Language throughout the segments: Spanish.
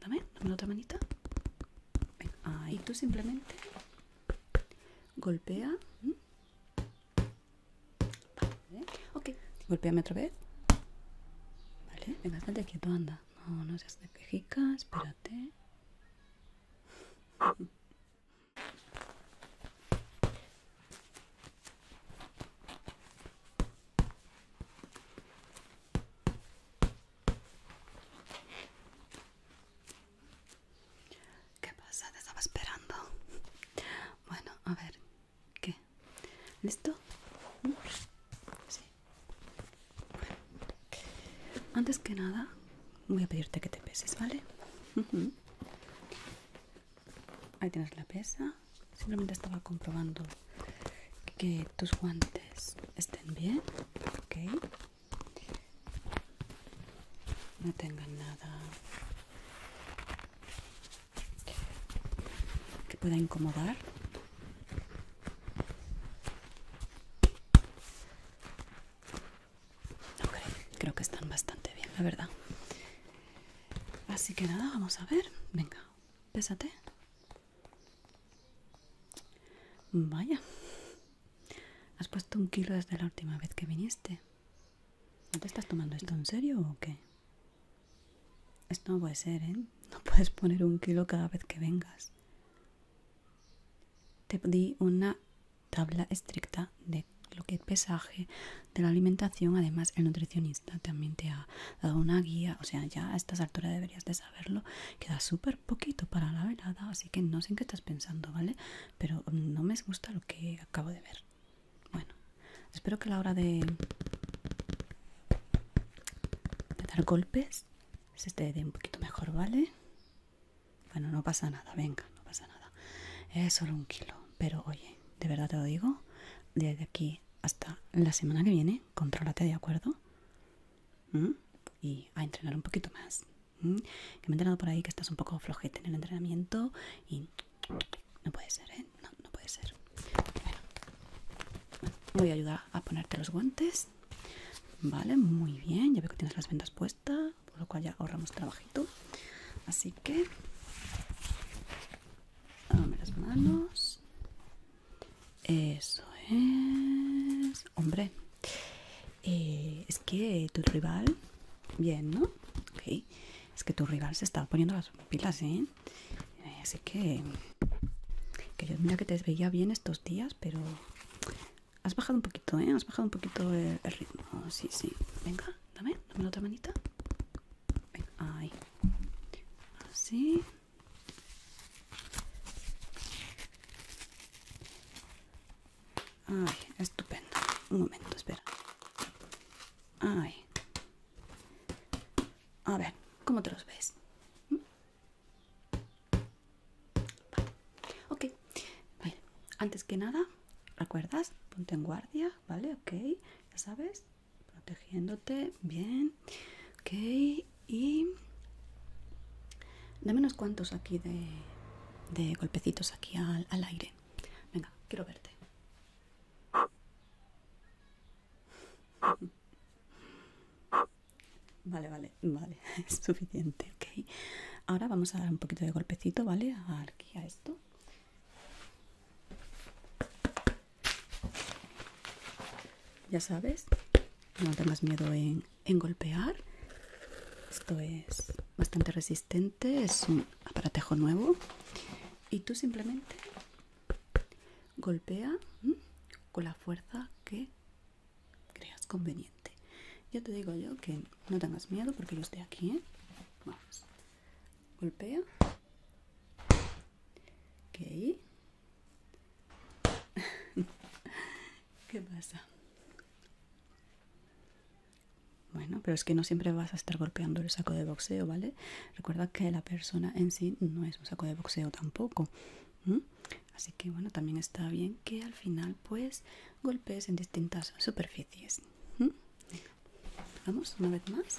Dame, dame la otra manita. ahí tú simplemente golpea. Vale, ok. Golpeame otra vez. Vale, venga, bastante quieto, anda. No, no seas de quejica, espérate. ¿Qué pasa? Te estaba esperando. Bueno, a ver, ¿qué? ¿Listo? Sí. Bueno. Antes que nada, voy a pedirte que te peses, ¿vale? Ahí tienes la pesa. Simplemente estaba comprobando que tus guantes estén bien, No tengan nada que pueda incomodar. Ok, creo que están bastante bien, la verdad. Así que nada, vamos a ver. Venga, pésate. Vaya, has puesto un kilo desde la última vez que viniste. ¿No te estás tomando esto en serio o qué? Esto no puede ser, ¿eh? No puedes poner un kilo cada vez que vengas. Te di una tabla estricta de lo que es pesaje, de la alimentación. Además, el nutricionista también te ha dado una guía. O sea, ya a estas alturas deberías de verlo Queda súper poquito para la velada, así que no sé en qué estás pensando, ¿vale? Pero mm, no me gusta lo que acabo de ver. Bueno, espero que a la hora de, dar golpes se te dé un poquito mejor, ¿vale? Bueno, no pasa nada, venga, no pasa nada. Es solo un kilo, pero oye, de verdad te lo digo, desde aquí hasta la semana que viene contrólate, ¿de acuerdo? Y a entrenar un poquito más. Que me he entrenado por ahí que estás un poco flojete en el entrenamiento y no puede ser, ¿eh? No, no puede ser. Bueno, voy a ayudar a ponerte los guantes. Vale, muy bien. Ya veo que tienes las vendas puestas, por lo cual ya ahorramos trabajito. Así que... Dame las manos. Eso es. Hombre, eh, es que tu rival. Bien, ¿no? Es que tu rival se está poniendo las pilas, ¿eh? eh así que. Que mira que te veía bien estos días, pero. Has bajado un poquito, ¿eh? Has bajado un poquito el, ritmo. Sí, sí. Venga, dame, la otra manita. Venga, ahí. Así. Ay, estupendo. Un momento, espera. Ay. A ver, ¿cómo te los ves? ¿Mm? Ok. Antes que nada, ¿recuerdas? Ponte en guardia, ¿vale? Ok. Ya sabes protegiéndote bien ok y dame unos cuantos aquí de, golpecitos aquí al, al aire venga quiero verte Vale, vale, vale, es suficiente, ok. Ahora vamos a dar un poquito de golpecito, ¿vale? Aquí a esto. Ya sabes, no tengas miedo en, golpear. Esto es bastante resistente, es un aparatejo nuevo. Y tú simplemente golpea con la fuerza que creas conveniente. Ya te digo yo que no tengas miedo porque yo estoy aquí. ¿eh? Vamos. Golpea. Ok. ¿Qué pasa? Bueno, pero es que no siempre vas a estar golpeando el saco de boxeo, ¿vale? Recuerda que la persona en sí no es un saco de boxeo tampoco. Así que bueno, también está bien que al final pues golpees en distintas superficies. Vamos, una vez más.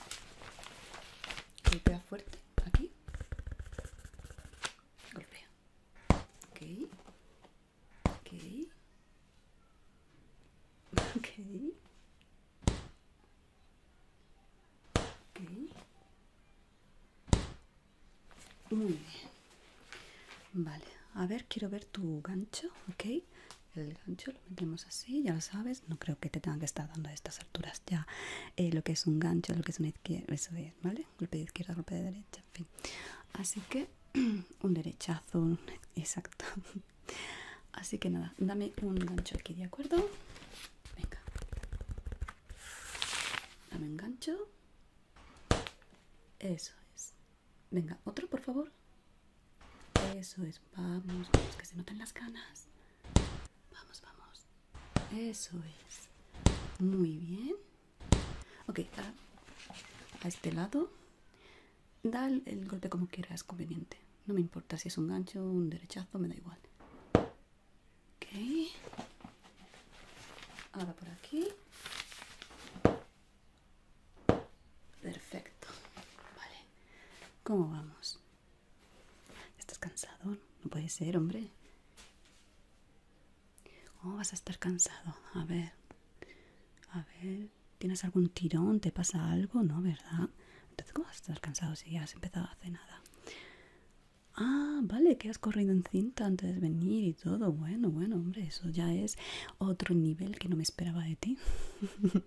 Golpea fuerte aquí golpea ok ok ok muy bien vale a ver quiero ver tu gancho ok el gancho lo metemos así ya lo sabes no creo que te tenga que estar dando estas ya eh, lo que es un gancho, lo que es una izquierda, eso es, ¿vale? Golpe de izquierda, golpe de derecha, fin. Así que un derechazo, exacto. Así que nada, dame un gancho aquí, ¿de acuerdo? Venga. Dame un gancho. Eso es. Venga, otro, por favor. Eso es. Vamos, vamos, que se noten las ganas. Vamos, vamos. Eso es. Muy bien. Ok, a, este lado. Da el, golpe como quieras, conveniente. No me importa si es un gancho, un derechazo, me da igual. Ok. Ahora por aquí. Perfecto. Vale. ¿Cómo vamos? ¿Estás cansado? No puede ser, hombre. ¿Cómo vas a estar cansado. A ver. A ver. ¿Tienes algún tirón? ¿Te pasa algo? No, ¿verdad? Entonces, ¿cómo vas a estar cansado si ya has empezado a hacer nada? Ah, vale, que has corrido en cinta antes de venir y todo. Bueno, bueno, hombre, eso ya es otro nivel que no me esperaba de ti.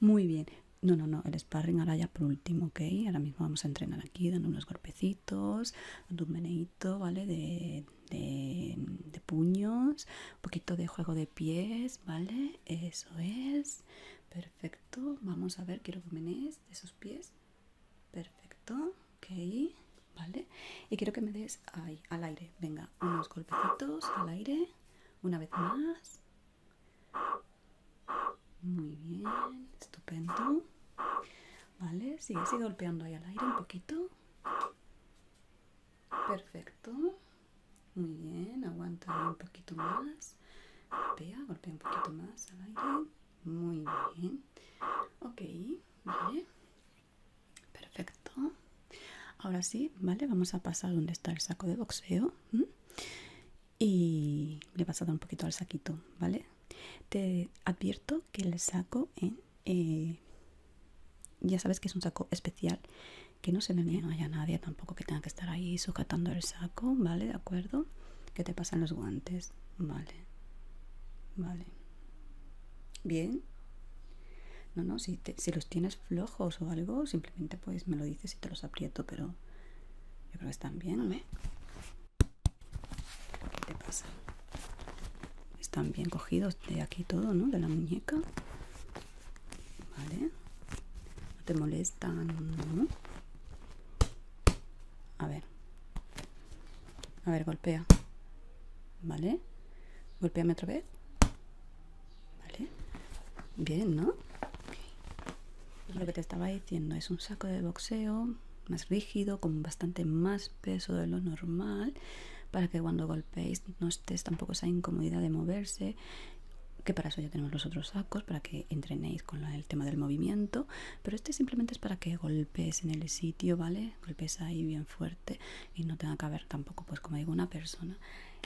Muy bien, no, no, no, el sparring ahora ya por último, ¿ok? Ahora mismo vamos a entrenar aquí, dando unos golpecitos, dando un meneito, ¿vale? De, puños, un poquito de juego de pies, ¿vale? Eso es, perfecto. Vamos a ver, quiero que de esos pies. Perfecto, ok, ¿vale? Y quiero que me des ahí, al aire, venga, unos golpecitos al aire, una vez más, muy bien, estupendo. Vale, sigue así golpeando ahí al aire un poquito. Perfecto. Muy bien, aguanta un poquito más. Golpea, golpea un poquito más al aire. Muy bien. Ok, vale. Perfecto. Ahora sí, vale, vamos a pasar donde está el saco de boxeo y le he pasado un poquito al saquito, ¿vale? Te advierto que el saco, eh, ya sabes que es un saco especial, que no se me niega a nadie tampoco que tenga que estar ahí sujetando el saco, ¿vale? ¿De acuerdo? Que te pasan los guantes, ¿vale? Vale. Bien. No, no, si, si los tienes flojos o algo, simplemente pues me lo dices y te los aprieto, pero yo creo que están bien, ¿eh? ¿Qué te pasa? Están bien cogidos de aquí todo, ¿no? De la muñeca. Vale. No te molestan, ¿no? A ver. A ver, golpea. ¿Vale? Golpeame otra vez. ¿Vale? Bien, ¿no? Lo que te estaba diciendo es un saco de boxeo más rígido, con bastante más peso de lo normal, para que cuando golpeéis no estés tampoco esa incomodidad de moverse, que para eso ya tenemos los otros sacos, para que entrenéis con el tema del movimiento, pero este simplemente es para que golpees en el sitio, ¿vale? Golpees ahí bien fuerte y no tenga que haber tampoco, pues como digo, una persona.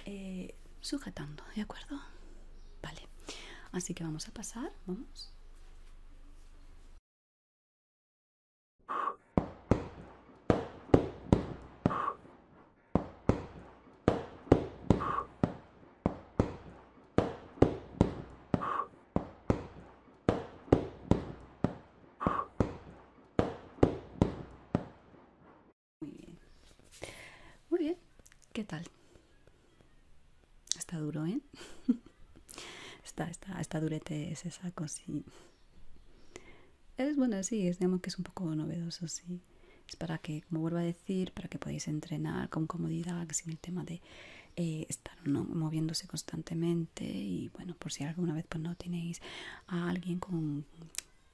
Eh, sujetando, ¿de acuerdo? Vale, así que vamos a pasar, vamos. Muy bien. Muy bien. ¿Qué tal? Está duro, ¿eh? está, está, está durete ese saco, sí. Es bueno, sí, es, digamos que es un poco novedoso, sí. Es para que, como vuelvo a decir, para que podáis entrenar con comodidad, sin el tema de eh, estar moviéndose constantemente y bueno, por si alguna vez pues no tenéis a alguien con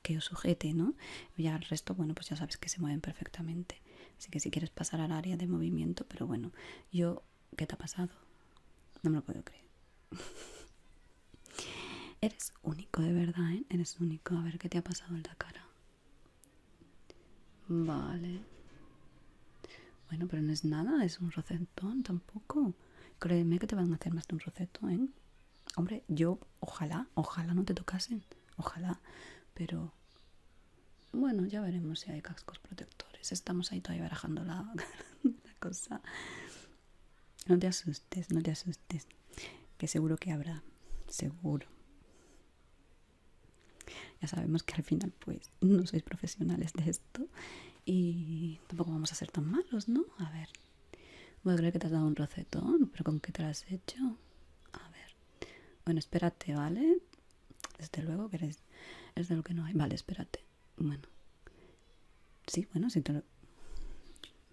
que os sujete, ¿no? Ya el resto, bueno, pues ya sabes que se mueven perfectamente. Así que si quieres pasar al área de movimiento, pero bueno, yo, ¿qué te ha pasado? No me lo puedo creer. Eres único, de verdad, ¿eh? Eres único. A ver, ¿qué te ha pasado en la cara? Vale. Bueno, pero no es nada, es un recetón, tampoco. Créeme que te van a hacer más de un roceto, ¿eh? Hombre, yo ojalá, ojalá no te tocasen, ojalá, pero bueno, ya veremos si hay cascos protectores. Estamos ahí todavía barajando la, cosa. No te asustes, no te asustes, que seguro que habrá, seguro. Ya sabemos que al final pues no sois profesionales de esto y tampoco vamos a ser tan malos, ¿no? A ver, Voy a creer que te has dado un rocetón, pero ¿con qué te lo has hecho? A ver. Bueno, espérate, ¿vale? Desde luego que eres, es de lo que no hay. Vale, espérate. Bueno. Sí, bueno, si te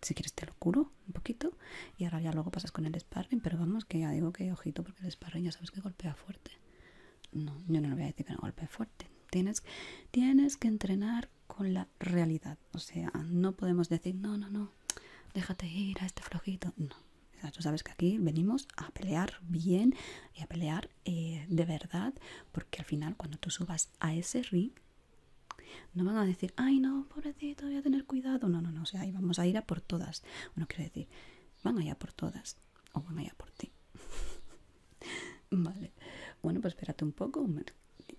Si quieres te lo curo un poquito y ahora ya luego pasas con el sparring, pero vamos que ya digo que ojito porque el sparring ya sabes que golpea fuerte. No, yo no le voy a decir que no golpee fuerte. Tienes, tienes que entrenar con la realidad. O sea, no podemos decir, no, no, no, déjate ir a este flojito. No. tú sabes que aquí venimos a pelear bien y a pelear eh, de verdad, porque al final cuando tú subas a ese ring, no van a decir, ay no, pobrecito, voy a tener cuidado. No, no, no, o sea, ahí vamos a ir a por todas. Bueno, quiero decir, van allá por todas o van a ir por ti. vale. Bueno, pues espérate un poco,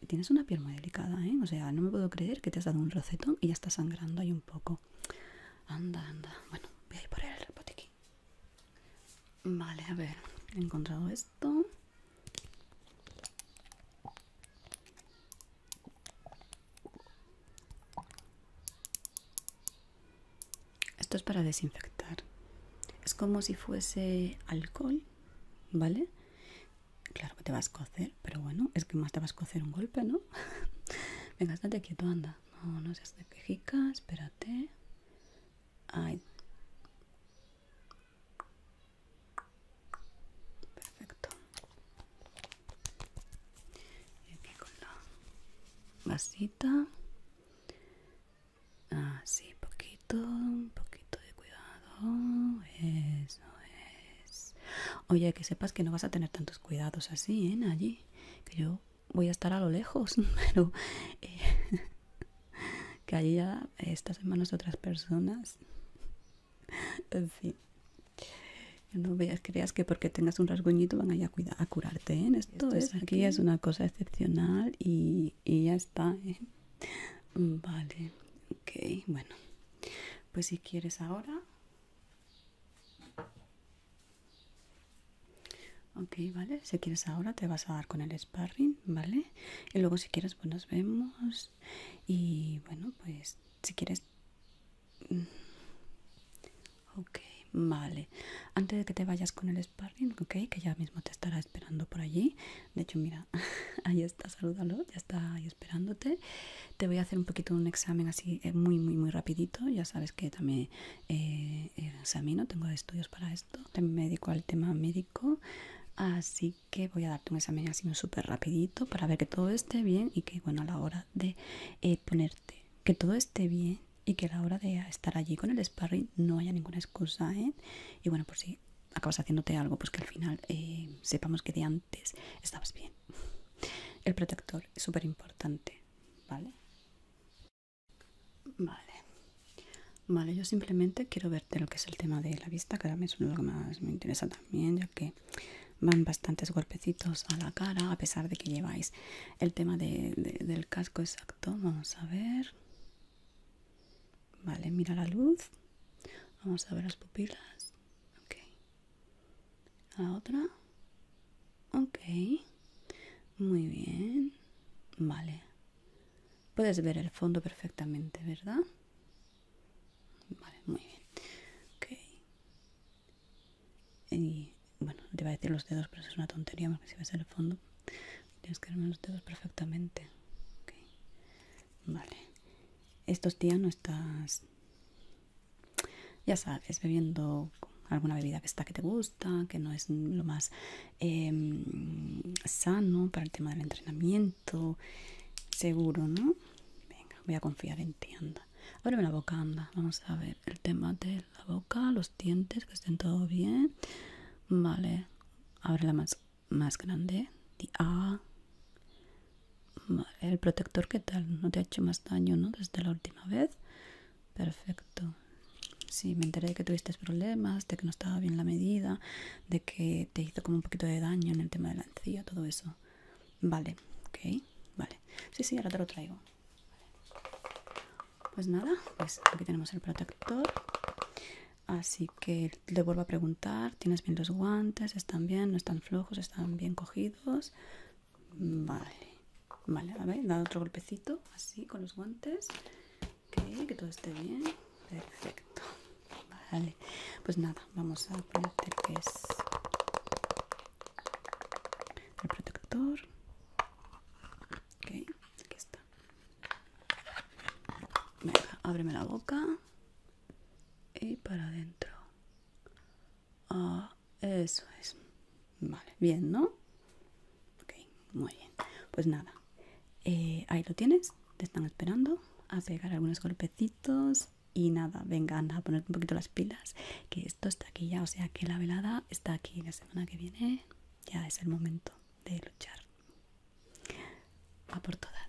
tienes una piel muy delicada, ¿eh? O sea, no me puedo creer que te has dado un rocetón y ya está sangrando ahí un poco. Anda, anda. Bueno, voy a ir por el botiquín. Vale, a ver, he encontrado esto. Esto es para desinfectar. Es como si fuese alcohol, ¿vale? Claro que te vas a cocer, pero bueno, es que más te vas a cocer un golpe, ¿no? Venga, estate quieto, anda. No, no seas de quejica, espérate. Ay. Perfecto. Y aquí con la vasita. Así, ah, poquito un poquito de cuidado. Eso es. Oye, que sepas que no vas a tener tantos cuidados así, en ¿eh, Allí, que yo voy a estar a lo lejos, pero eh, que allí ya estás en manos de otras personas. En fin. No veas, creas que porque tengas un rasguñito van a ir a, curarte, ¿eh? Esto, es, aquí, es una cosa excepcional y, ya está, ¿eh? Vale, Ok, bueno, pues si quieres ahora. Ok, vale, si quieres ahora te vas a dar con el sparring, ¿vale? Y luego si quieres, pues nos vemos. Y bueno, pues si quieres... Ok, vale. Antes de que te vayas con el sparring, ok, que ya mismo te estarás esperando por allí. De hecho, mira, ahí está, salúdalo, ya está ahí esperándote. Te voy a hacer un poquito un examen así eh, muy, muy, muy rapidito. Ya sabes que también eh, examino, tengo estudios para esto. También médico al tema médico. Así que voy a darte un examen así súper rapidito para ver que todo esté bien y que, bueno, a la hora de eh, ponerte, que todo esté bien y que a la hora de estar allí con el sparring no haya ninguna excusa, Y bueno, por si acabas haciéndote algo, pues que al final eh, sepamos que de antes estabas bien. El protector es súper importante, ¿vale? Vale. Vale, yo simplemente quiero verte lo que es el tema de la vista, que ahora es lo que más me interesa también, ya que van bastantes golpecitos a la cara, a pesar de que lleváis el tema de, del casco exacto. Vamos a ver. Vale, mira la luz. Vamos a ver las pupilas. Ok. La otra. Ok. Muy bien. Vale. Puedes ver el fondo perfectamente, ¿verdad? Vale, muy bien. Ok. Y bueno, te iba a decir los dedos, pero es una tontería porque si ves el fondo. Tienes que armar los dedos perfectamente. Vale. Estos días no estás, ya sabes, bebiendo alguna bebida que está que te gusta, que no es lo más em, sano para el tema del entrenamiento. Seguro, ¿no? Venga, voy a confiar en ti, anda. Ábreme la boca, anda. Vamos a ver el tema de la boca, los dientes, que estén todo bien. Vale, la más más grande, ah, A. El protector, ¿qué tal? No te ha hecho más daño, ¿no? Desde la última vez. Perfecto. Sí, me enteré de que tuviste problemas, de que no estaba bien la medida, de que te hizo como un poquito de daño en el tema de la encía, todo eso. Vale, ok, vale. Sí, sí, ahora te lo traigo. Pues nada, pues aquí tenemos el protector. Así que le vuelvo a preguntar, ¿tienes bien los guantes? ¿Están bien? ¿No están flojos? ¿Están bien cogidos? Vale, vale, a ver, da otro golpecito, así con los guantes. que todo esté bien. Perfecto. Vale, pues nada, vamos a poner el es el protector. Ok, aquí está. Venga, ábreme la boca y para adentro. Ah, eso es. Vale, bien, ¿no? Ok, muy bien. Pues nada, eh, ahí lo tienes. Te están esperando a pegar algunos golpecitos y nada, vengan a poner un poquito las pilas, que esto está aquí ya, o sea que la velada está aquí la semana que viene, ya es el momento de luchar. A por todas.